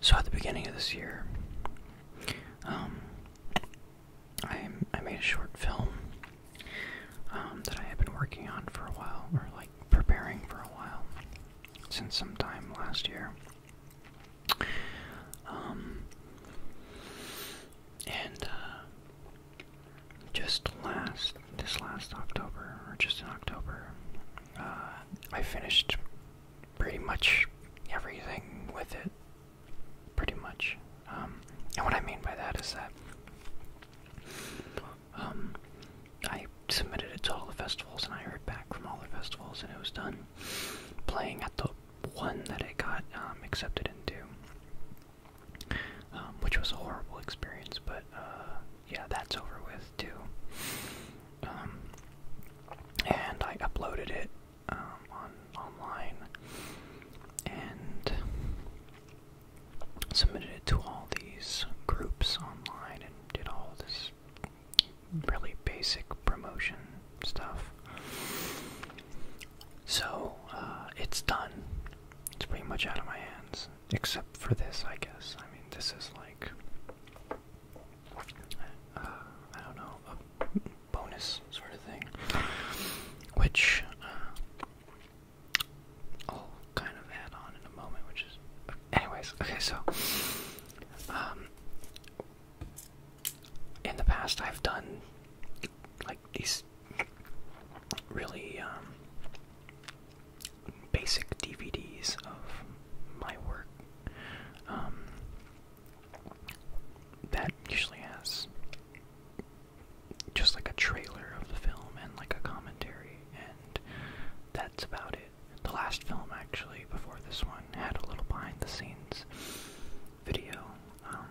So at the beginning of this year, um, I made a short film um, that I had been working on for a while, or like preparing for a while, since sometime last year. Um, and uh, just last this last October, or just in October, uh, I finished pretty much everything with it. Pretty much. Um, and what I mean by that is that um, I submitted it to all the festivals and I heard back from all the festivals and it was done playing at the one that I got um, accepted into, um, which was a horrible experience, but uh, yeah, that's over with too. Um, and I uploaded it um, on online and submitted it to all these groups online and did all this really basic promotion stuff. So uh, it's done. It's pretty much out of my hands, except for this, I guess. I mean, this is like I don't know, bonus sort of thing, which uh, kind of add on in a moment, which is, anyways, okay, so, um, in the past I've done, like, these really, um, basic DVDs of my work. Um, that usually has just like a trailer of the film and like a commentary, and that's about it. The last film, actually, before this one, had a little behind the scenes video, um,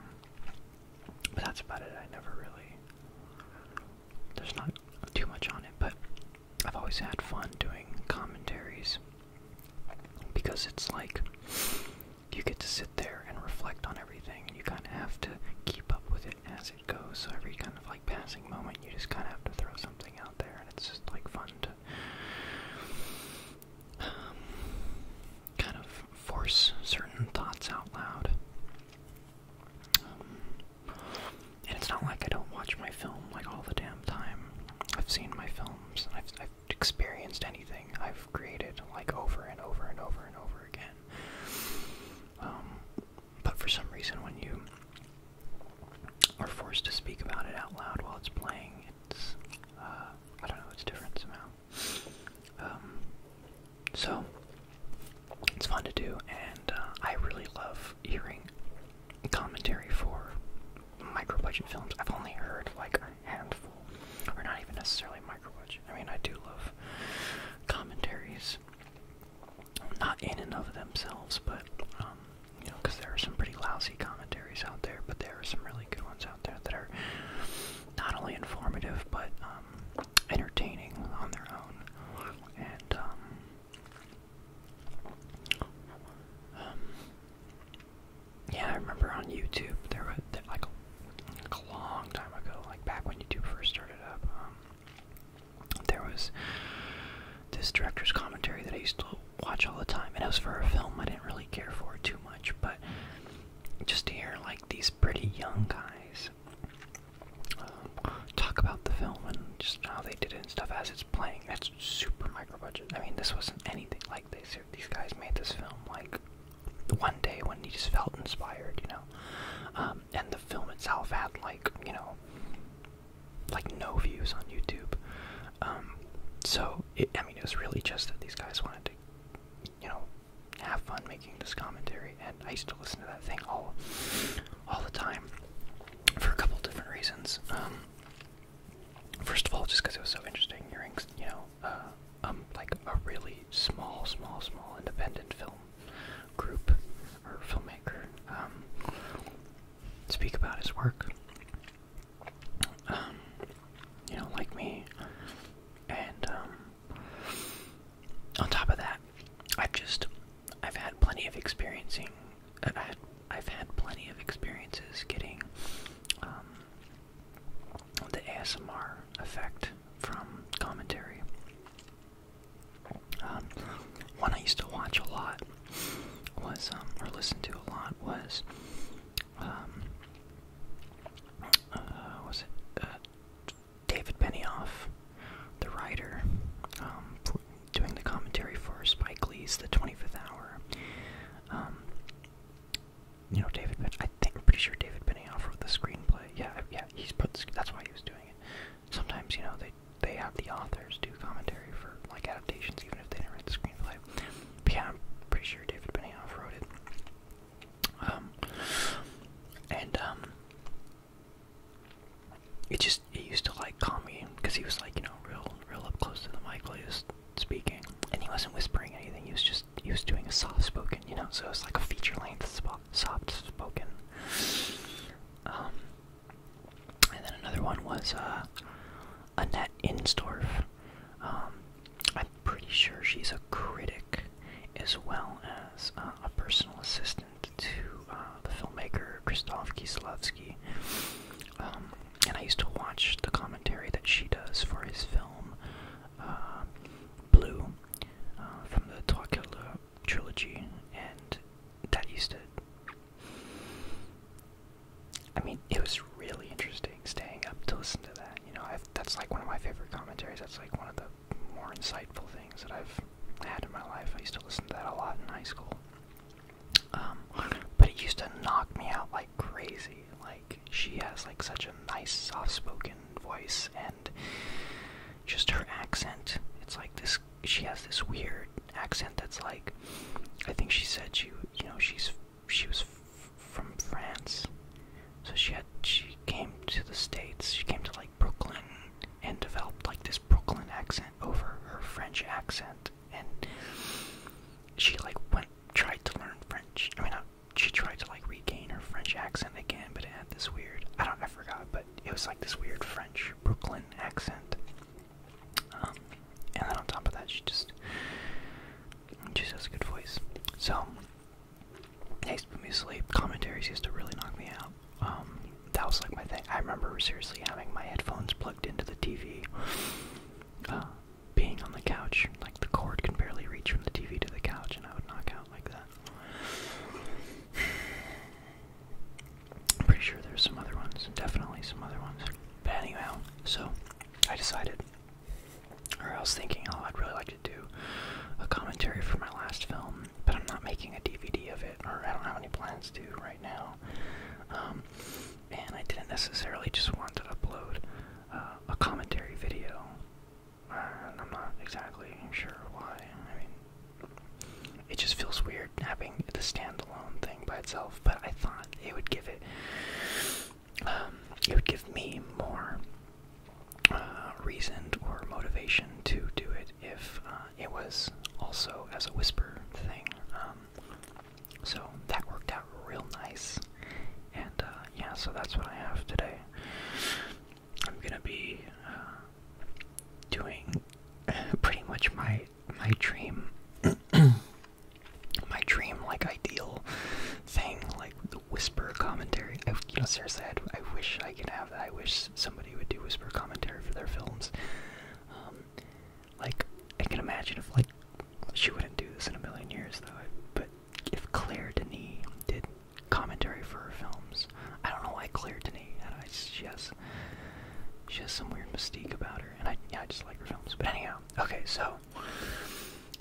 but that's about it. I never really. There's not too much on it, but I've always had fun doing commentaries because it's like you get to sit there and reflect on everything, and you kind of have to keep up with it as it goes. So every kind of like passing moment, you just kind of have to throw something out there, and it's just like fun to. Um, kind of force certain thoughts out loud. Um, and it's not like I don't watch my film like all the damn time. I've seen my films I've, experienced anything I've created like over and over and over and over again. Um, but for some reason, when you are forced to speak about it out loud while it's playing, it's uh, I don't know, it's different somehow. Um, so it's fun to do, and uh, I really love hearing commentary for micro budget films. I've only heard like a handful, or not even necessarily micro budget. I mean, I do love commentaries, not in and of themselves, but um, you know, because there are some pretty lousy commentaries out there, but there are some really good ones out there that are not only informative but um, entertaining on their own. And um, um, yeah, I remember on YouTube there was like, a long time ago, like back when YouTube first started up. Um, there was this director's commentary that I used to watch all the time, and it was for a film I didn't really care for too much, but just to hear like these pretty young guys um, talk about the film and just how they did it and stuff as it's playing, super micro budget. I mean, this wasn't anything like this. These guys made this film like one day when he just felt inspired, you know. Um, and the film itself had like you know, like no views on YouTube. Um, so I mean, it was really just that these guys wanted to, you know, have fun making this commentary. And I used to listen to that thing all, all the time, for a couple different reasons. Um, First of all, just because it was so interesting hearing, you know, uh, um, like a really small, small, small independent film group or filmmaker um, speak about his work. Um, you know, like me, and um, on top of that, I've just I've had plenty of experiencing I've had plenty of experiences getting um, the ASMR effect from commentary. Um, one I used to watch a lot was, um, or listen to a lot was, uh, was it uh, David Benioff, the writer, doing the commentary for Spike Lee's The 25th Hour. Um, you know, David, I think I'm pretty sure David Benioff wrote the screenplay. Yeah, yeah, he's put. that's why he was doing it. Sometimes, you know, they they have the authors do commentary for like adaptations, even if they didn't write the screenplay. yeah, I'm pretty sure David Benioff wrote it. Um, and um, it just it used to like call me because he was like you know real real up close to the mic while he was speaking and he wasn't whispering anything he was just he was doing a soft spoken you know so it's like a feature length soft spoken um and then another one was uh Annette Insdorf um I'm pretty sure she's a critic as well as uh, a personal assistant to uh, uh, the filmmaker Krzysztof Kieslowski. Um, and I used to watch the commentary that she does for his film uh, Blue uh, from the Twakula trilogy, and that used to. I mean, it was really interesting staying up to listen to that. You know, that's like one of my favorite commentaries. That's like one of the more insightful things that I've had in my life. I used to listen to that a lot in high school. Um, but it used to knock me out like crazy. Like she has like such a nice, soft-spoken voice, and just her accent. It's like this. She has this weird accent that's like, I think she said she, you know, she's she was from France, so she had she came to the states. She came to like Brooklyn and developed like this Brooklyn accent over her French accent and she like went tried to learn French. I mean uh, she tried to like regain her French accent again but it had this weird I don't I forgot but it was like this weird French Brooklyn accent. Um, and then on top of that she just she has a good voice. So to put me to sleep. Commentaries used to really knock me out. Um, that was like my thing. I remember seriously having my headphones plugged into the TV, uh, being on the couch, like the cord can barely reach from the TV to the couch, and I would knock out like that. pretty sure there's some other ones, definitely some other ones. But anyhow, so I decided, or I was thinking, oh, I'd really like to do a commentary for my last film, but I'm not making a DVD of it, or I don't have any plans to right now. Um, and I didn't necessarily just want to upload uh, a commentary video. I'm not exactly sure why. I mean, it just feels weird having the standalone thing by itself. But I thought it would give it, um, it would give me more uh, reason or motivation to do it if uh, it was also as a whisper thing. Um, so that worked out real nice. And uh, yeah, so that's what I have today. I'm gonna be uh, doing pretty much my my dream, my dream like ideal thing, like the whisper commentary. I, you know, seriously, i I wish I could have that. I wish somebody would do whisper commentary for their films. Um, like, I can imagine if, like, she wouldn't do this in a million years, though. But if Claire Denis did commentary for her films, I don't know why Claire Denis. I she has she has some weird mystique about her, and I I just like her films. But anyhow, okay, so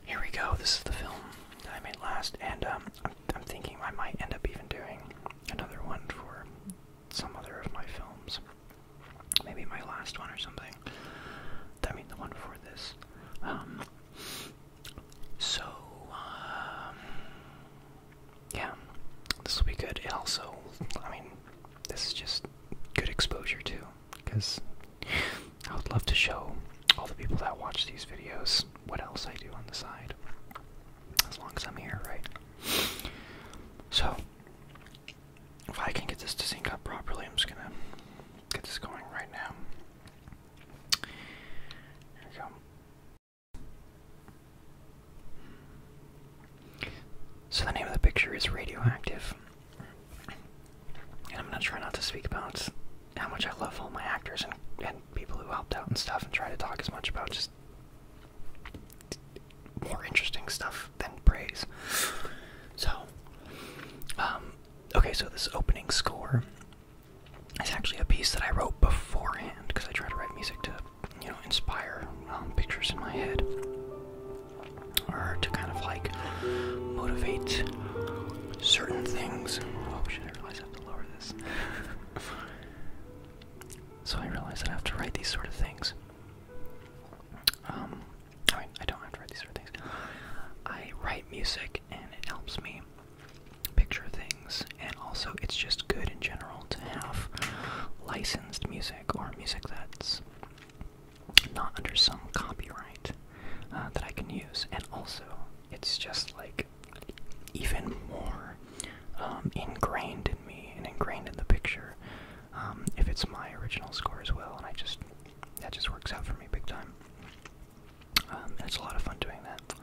here we go. This is the film that I made last, and um, I'm I'm thinking I might end up even doing another one for some other of my films. Maybe my last one or something. I mean, the one before this. Um, so, um, yeah, this will be good. also, I mean, this is just good exposure too, because I would love to show all the people that watch these videos what else I do on the side. As long as I'm here, right? So, if I can get this to sync up properly, I'm just gonna get this going right now. Here we go. So the name of the picture is Radioactive. And I'm gonna try not to speak about how much I love all my actors and, and people who helped out and stuff and try to talk as much about just more interesting stuff than praise. So, um, okay, so this opening score is actually a piece that I wrote beforehand because I try to write music to, you know, inspire um, pictures in my head or to kind of like motivate certain things. Oh shit, I realize I have to lower this. so I realized I have to write these sort of things. Um, I don't have to write these sort of things. I write music and it helps me picture things, and also it's just good in general to have licensed music or music that's not under some copyright uh, that I can use, and also it's just like even more um, ingrained in me and ingrained in the picture um, if it's my original score as well, and I just that just works out for me big time. Um, it's a lot of fun doing that.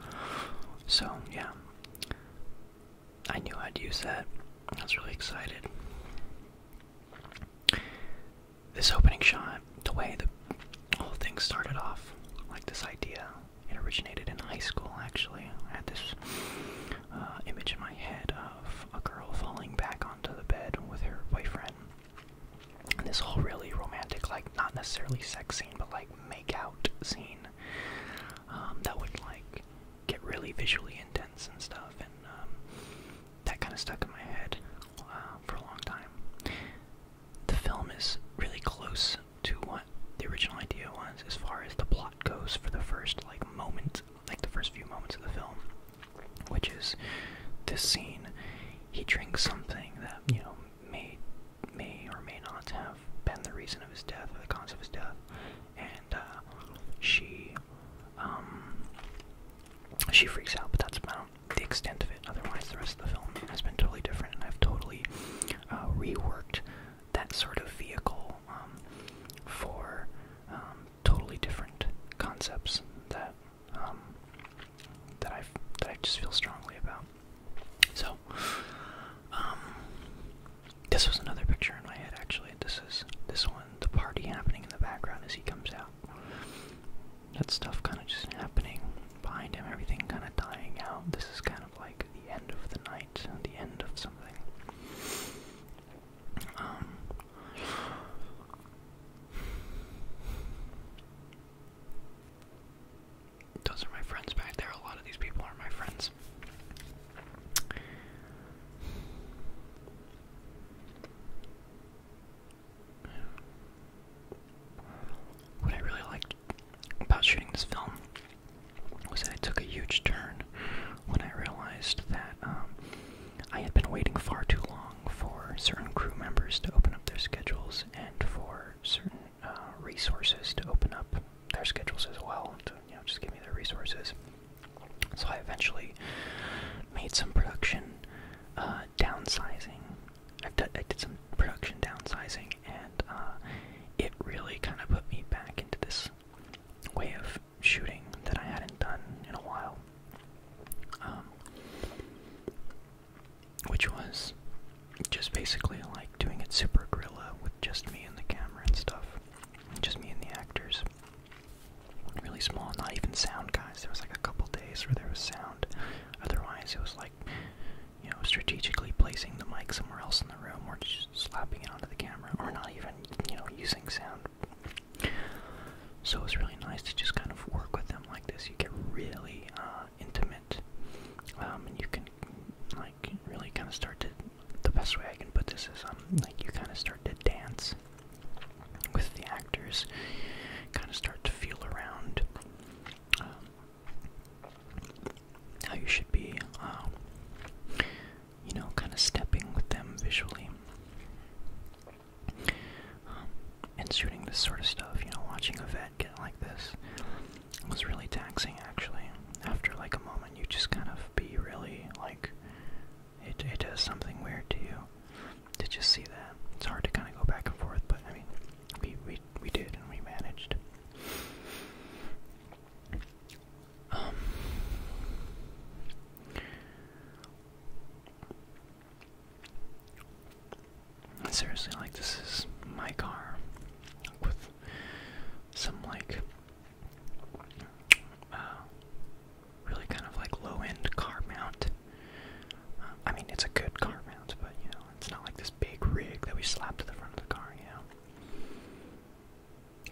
So yeah, I knew I'd use that. I was really excited. This opening shot, the way the whole thing started off, like this idea, it originated in high school actually. I had this uh, image in my head of a girl falling back onto the bed with her boyfriend. And this whole really romantic, like not necessarily sex scene, but like make out scene um, that would like get really visually intense and stuff. And um, that kind of stuck in my head uh, for a long time. The film is really close to what the original idea was as far as the plot goes for the first like moment like the first few moments of the film, which is this scene. He drinks something that you know may may or may not have been the reason of his death or the cause of his death, and uh, she um, she freaks out. But that's about the extent of it. Otherwise, the rest of the film has been totally different, and I've totally uh, reworked that sort of vehicle um, for um, totally different concepts that um, that I that I just feel strongly about. So, um, this was another picture in my head actually. This is this one, the party happening in the background as he comes out. That stuff kind of just happening behind him, everything kind of dying out. This is kind of like the end of the night, the end of something. Um, those are my friends back there. A lot of these people are my friends. What I really liked about shooting this film was that it took a huge turn when I realized that um, I had been waiting far too long for certain crew members to open up their schedules and for certain uh, resources to open up their schedules as well, to you know, just give me their resources. So I eventually made some production uh, downsizing. I've d i did some production downsizing, and uh, it really kind of put me back into this way of shooting that I hadn't done in a while, um, which was just basically like doing it super gorilla with just me and the camera and stuff, just me and the actors. Really small, not even sound guys. There was like a couple days where there was sound. Otherwise, it was like, you know, strategically placing the mic somewhere else in the room or just slapping it onto the camera or not even, you know, using sound so it's really nice to just kind of work with them like this. You get really uh, intimate, um, and you can like really kind of start to. The best way I can put this is um like you kind of start to dance with the actors, kind of start to feel around um, how you should be. Uh, you know, kind of stepping with them visually. Um, and shooting this sort of stuff, you know, watching a vet get like this was really taxing actually. After like a moment, you just kind of be really like, it, it does something weird to you to just see that. It's hard to kind of go back and forth, but I mean, we, we, we did and we managed. Um, seriously, like this is my car with some like uh, really kind of like low-end car mount. Uh, I mean, it's a good car mount, but you know, it's not like this big rig that we slap to the front of the car. yeah.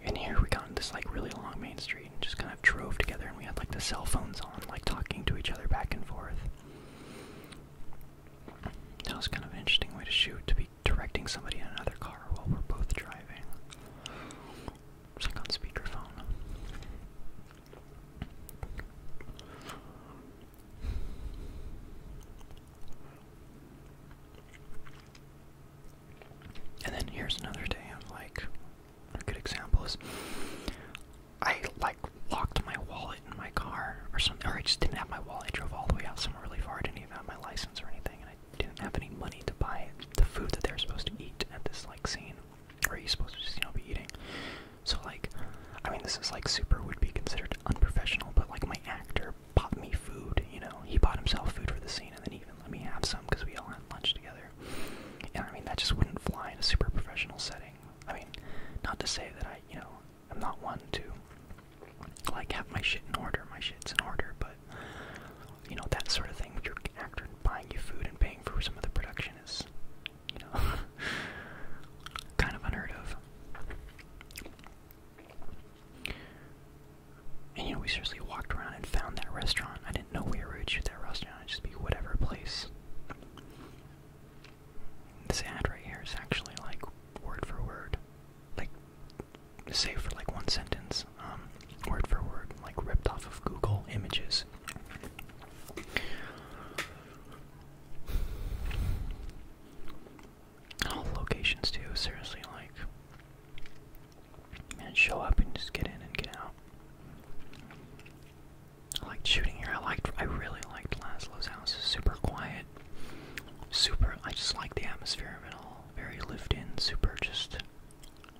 And here we got in this like really long main street and just kind of drove together and we had like the cell phones on, like talking to each other back and forth. That was kind of an interesting way to shoot, to be directing somebody in another car while we're both driving. like on speakerphone. And then here's another day of like a good example is I like locked my wallet in my car or something, or I just didn't have my wallet. I drove all the way out somewhere really far. I didn't even have my license or anything, and I didn't have any money to buy the food that they were supposed to eat at this like scene, or you're supposed to just you know be eating. So like, I mean, this is like super would be considered unprofessional, but like my actor bought me food. You know, he bought himself food for the scene, and then he even let me have some because we all had lunch together together. And I mean, that just wouldn't fly in a super professional setting. I mean, not to say that I, you know, I'm not one to, like, have my shit in order, my shit's in order, but, you know, that sort of thing with your actor buying you food and paying for some of the production is, you know, kind of unheard of. And you know, we seriously walked around and found that restaurant. I didn't know we were at that restaurant. It'd just be whatever place. This ad right here is actually like word for word, like save for like one sentence, um, word for word, like ripped off of Google Images. All locations too. Seriously, like and show up and just get in and get out. I liked shooting here. I liked, I really liked Laszlo's house. Super quiet, super. I just like the atmosphere of it all. Very lived in, super. Just,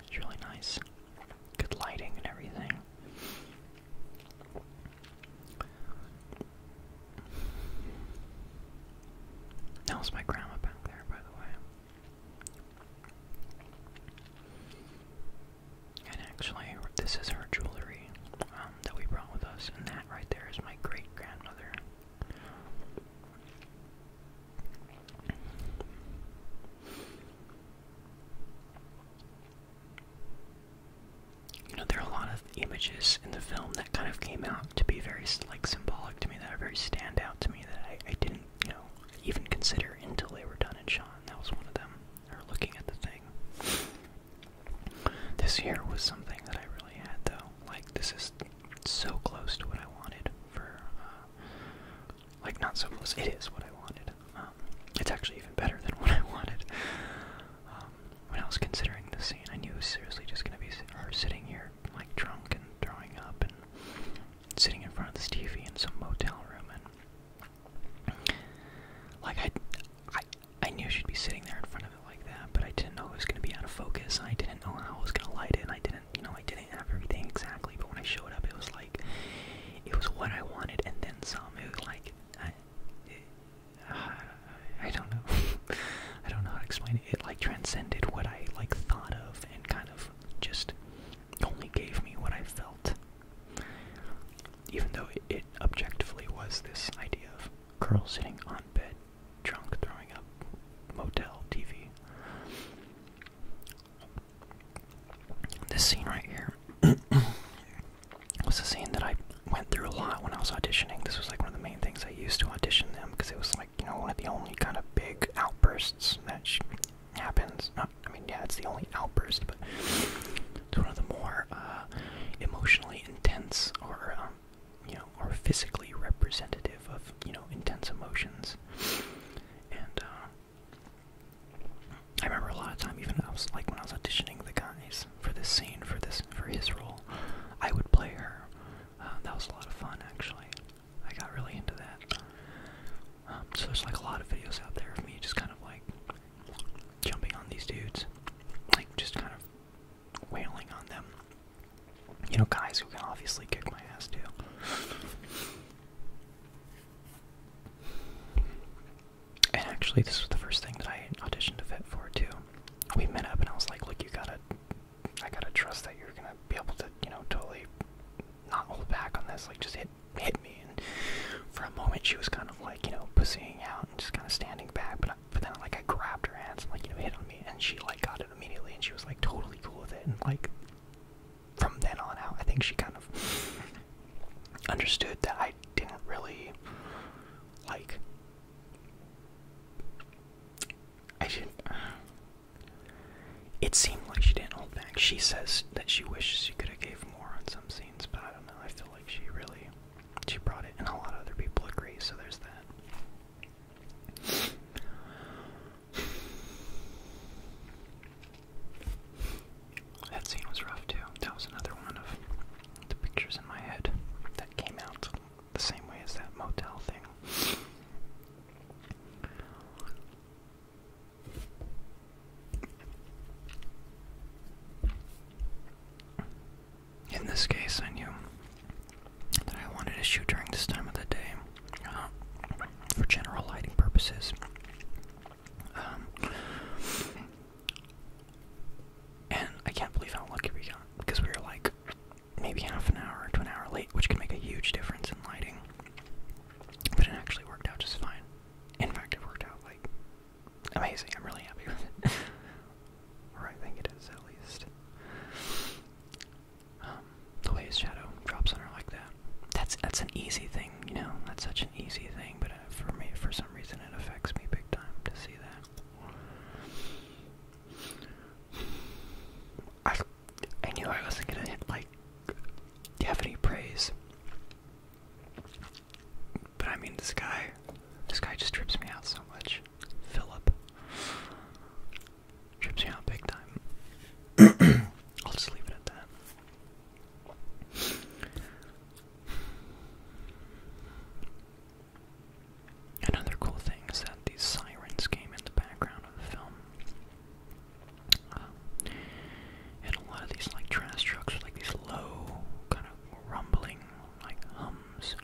it's really nice. Good lighting and everything. That was my grandma back there, by the way. And actually, this is her jewelry um, that we brought with us, and that right there is my great grandmother. You know, there are a lot of images in the film that kind of came out to be very like symbolic to me, that are very stand out to me, that I didn't you know, even consider until they were done And Sean. That was one of them. Or looking at the thing. This year was something that I really had, though. Like, this is so close to what I wanted for, uh, like, not so close. It is what I wanted. Um, it's actually even better than what I wanted. Um, when I was considering the scene, I knew it was seriously just going to be her sitting here, like, drunk and throwing up and sitting in front of this TV in some motel room, and like I, I, I knew she'd be sitting there in front of it like that, but I didn't know it was gonna be out of focus. I didn't know how I was gonna light it. And I didn't, you know, I didn't have everything exactly. But when I showed up, it was like, it was what I wanted, and then some. It was like, I, it, uh, I don't know. I don't know how to explain it. It like transcended what I like thought of and kind of just only gave me what I felt. Even though it, objectively was this idea of girl sitting on bed, drunk, throwing up, motel, TV. This scene right here was the scene that I went through a lot when I was auditioning. This was like one of the main things I used to audition them because it was like, you know, one of the only kind of big outbursts that happens. Not, I mean, yeah, it's the only outburst, but it's one of the more uh, emotionally intense or, um, you know, or physically representative of, you know, intense emotions. And uh, I remember a lot of time, even I was like when I was auditioning the guys for this scene, for this, for his role, I would play her. Uh, that was a lot of fun, actually. I got really into that. Um, so there's like a lot of videos out there of me just kind of like jumping on these dudes, like just kind of wailing on them. You know, guys who can obviously kick my ass too. And actually, this was the first thing that I auditioned a fit for too. We met up, and I was like, "Look, you gotta, I gotta trust that you're gonna be able to, you know, totally not hold back on this, like just hit hit me. And for a moment, she was kind of like you know pussying out and just kind of standing back. But but then like I grabbed her hands and like you know hit on me, and she like got it immediately, and she was like totally cool with it. And like from then on out, I think she kind of understood that I didn't really like. I should. It seemed like she didn't hold back. She says that she wishes she could have gave more on some scenes, but I don't know. I feel like she really she brought it, and a lot of other people agree. So there's that. That scene was rough too. That was another one of the pictures in my head that came out the same way as that motel thing. In this case, I knew that I wanted to shoot during this time of the day uh, for general lighting purposes. Um, and I can't believe how lucky we got because we were like maybe half an hour to an hour late, which can make a huge difference in lighting. But it actually worked out just fine. In fact, it worked out like amazing. I'm really happy with it. or I think it is at least. Um, the way his shadow drops on her like that. That's that's an easy thing, you know. That's such an easy thing, but uh, for me, for some reason, it affects me big time to see that. I, I knew I wasn't gonna hit, like have any praise. But I mean, this guy, this guy just trips me out so much. Philip trips me out big time. I'll just leave it at that. Another cool thing is that these sirens came in the background of the film. Um, and a lot of these like trash trucks with like these low kind of rumbling like hums.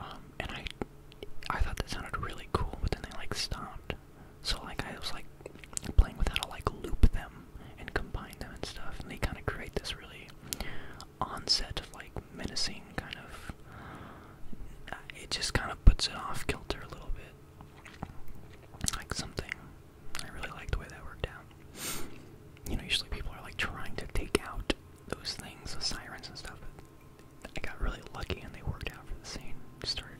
Um, and I, I thought that sounded really cool, but then they like stopped. So like I was like playing with how to like loop them and combine them and stuff, and they kind of create this really onset of like menacing kind of. It just kind of puts it off kilter a little bit like something. I really like the way that worked out. You know, usually people are like trying to take out those things, the sirens and stuff, but I got really lucky and they worked out for the scene. Started.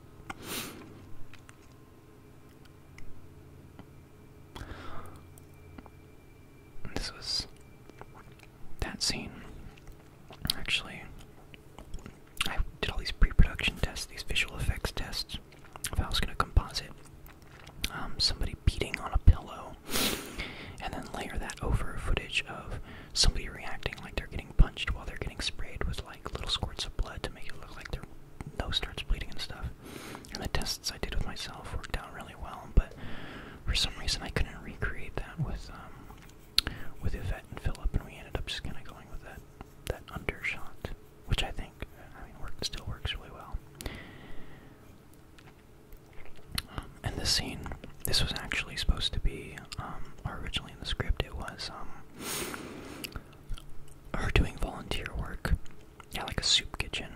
This was that scene. Actually, I did all these pre-production tests, these visual effects tests, if I was going to composite um, somebody beating on a pillow, and then layer that over footage of somebody reacting like they're getting punched while they're getting sprayed with like little squirts of blood to make it look like their nose starts bleeding and stuff. And the tests I did with myself worked out really well, but for some reason I couldn't recreate that with um, with Yvette and Philip, and we ended up just kind of going with that that undershot, which I think, I mean, work still works really well. Um, and the scene, this was actually supposed to be, um, originally in the script, it was um, her doing volunteer work, yeah, like a soup kitchen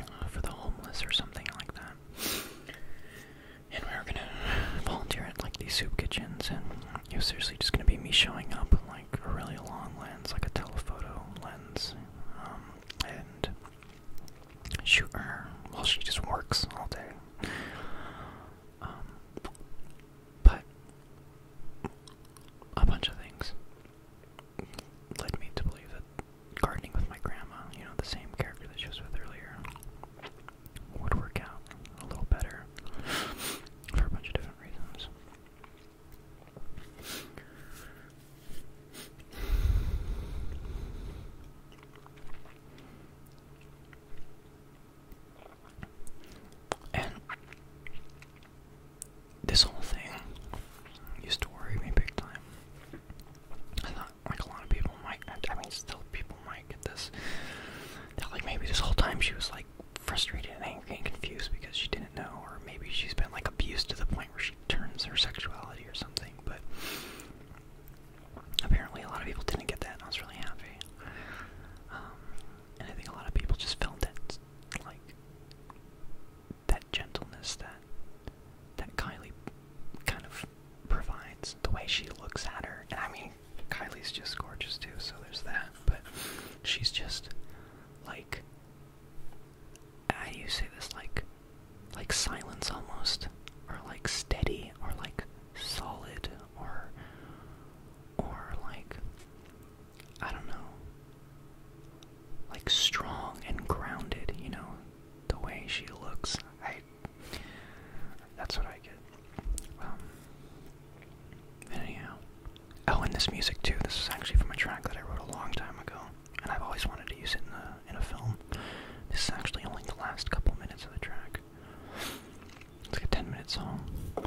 uh, for the homeless or something like that and we were gonna volunteer at like these soup kitchens, and it was seriously just gonna be me showing up with like a really long lens, like a telephoto lens, um, and shoot her while she just works all day. Um, but a bunch of things led me to believe that gardening with my grandma, you know, the same character that she was with earlier, would work out a little better for a bunch of different reasons. And this whole thing used to worry me big time. I thought, like, a lot of people might, I mean, still people might and get this. That like maybe this whole time she was like frustrated and angry and confused because she didn't know, or maybe she's been like abused to the point where she turns her sexuality or something. But apparently, a lot of people didn't get that, and I was really happy. Um, and I think a lot of people just felt that like that gentleness that that Kylie kind of provides the way she looks at her. And I mean, Kylie's just gorgeous too, so there's that. But she's just like how do you say this? Like, like silence almost, or like steady, or like solid, or or like I don't know, like strong and grounded. You know, the way she looks. I that's what I get. Um, anyhow. Oh, and this music too. This is actually from a track that I wrote a long time ago, and I've always wanted to use it in a in a film. This is actually only the last couple minutes of the track. It's like a ten-minute song, uh,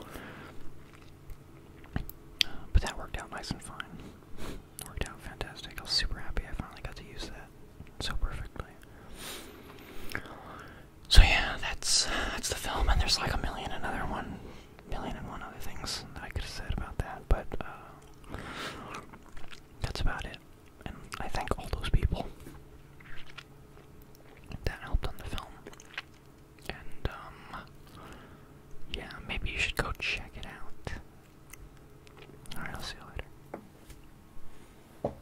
but that worked out nice and fine. worked out fantastic. I was super happy I finally got to use that so perfectly. So yeah, that's that's the film, and there's like a million and other one, million and one other things that I could have said about that, but uh, that's about it. And I thank all those people that helped on the film. And um, yeah, maybe you should go check it out. All right, I'll see you later.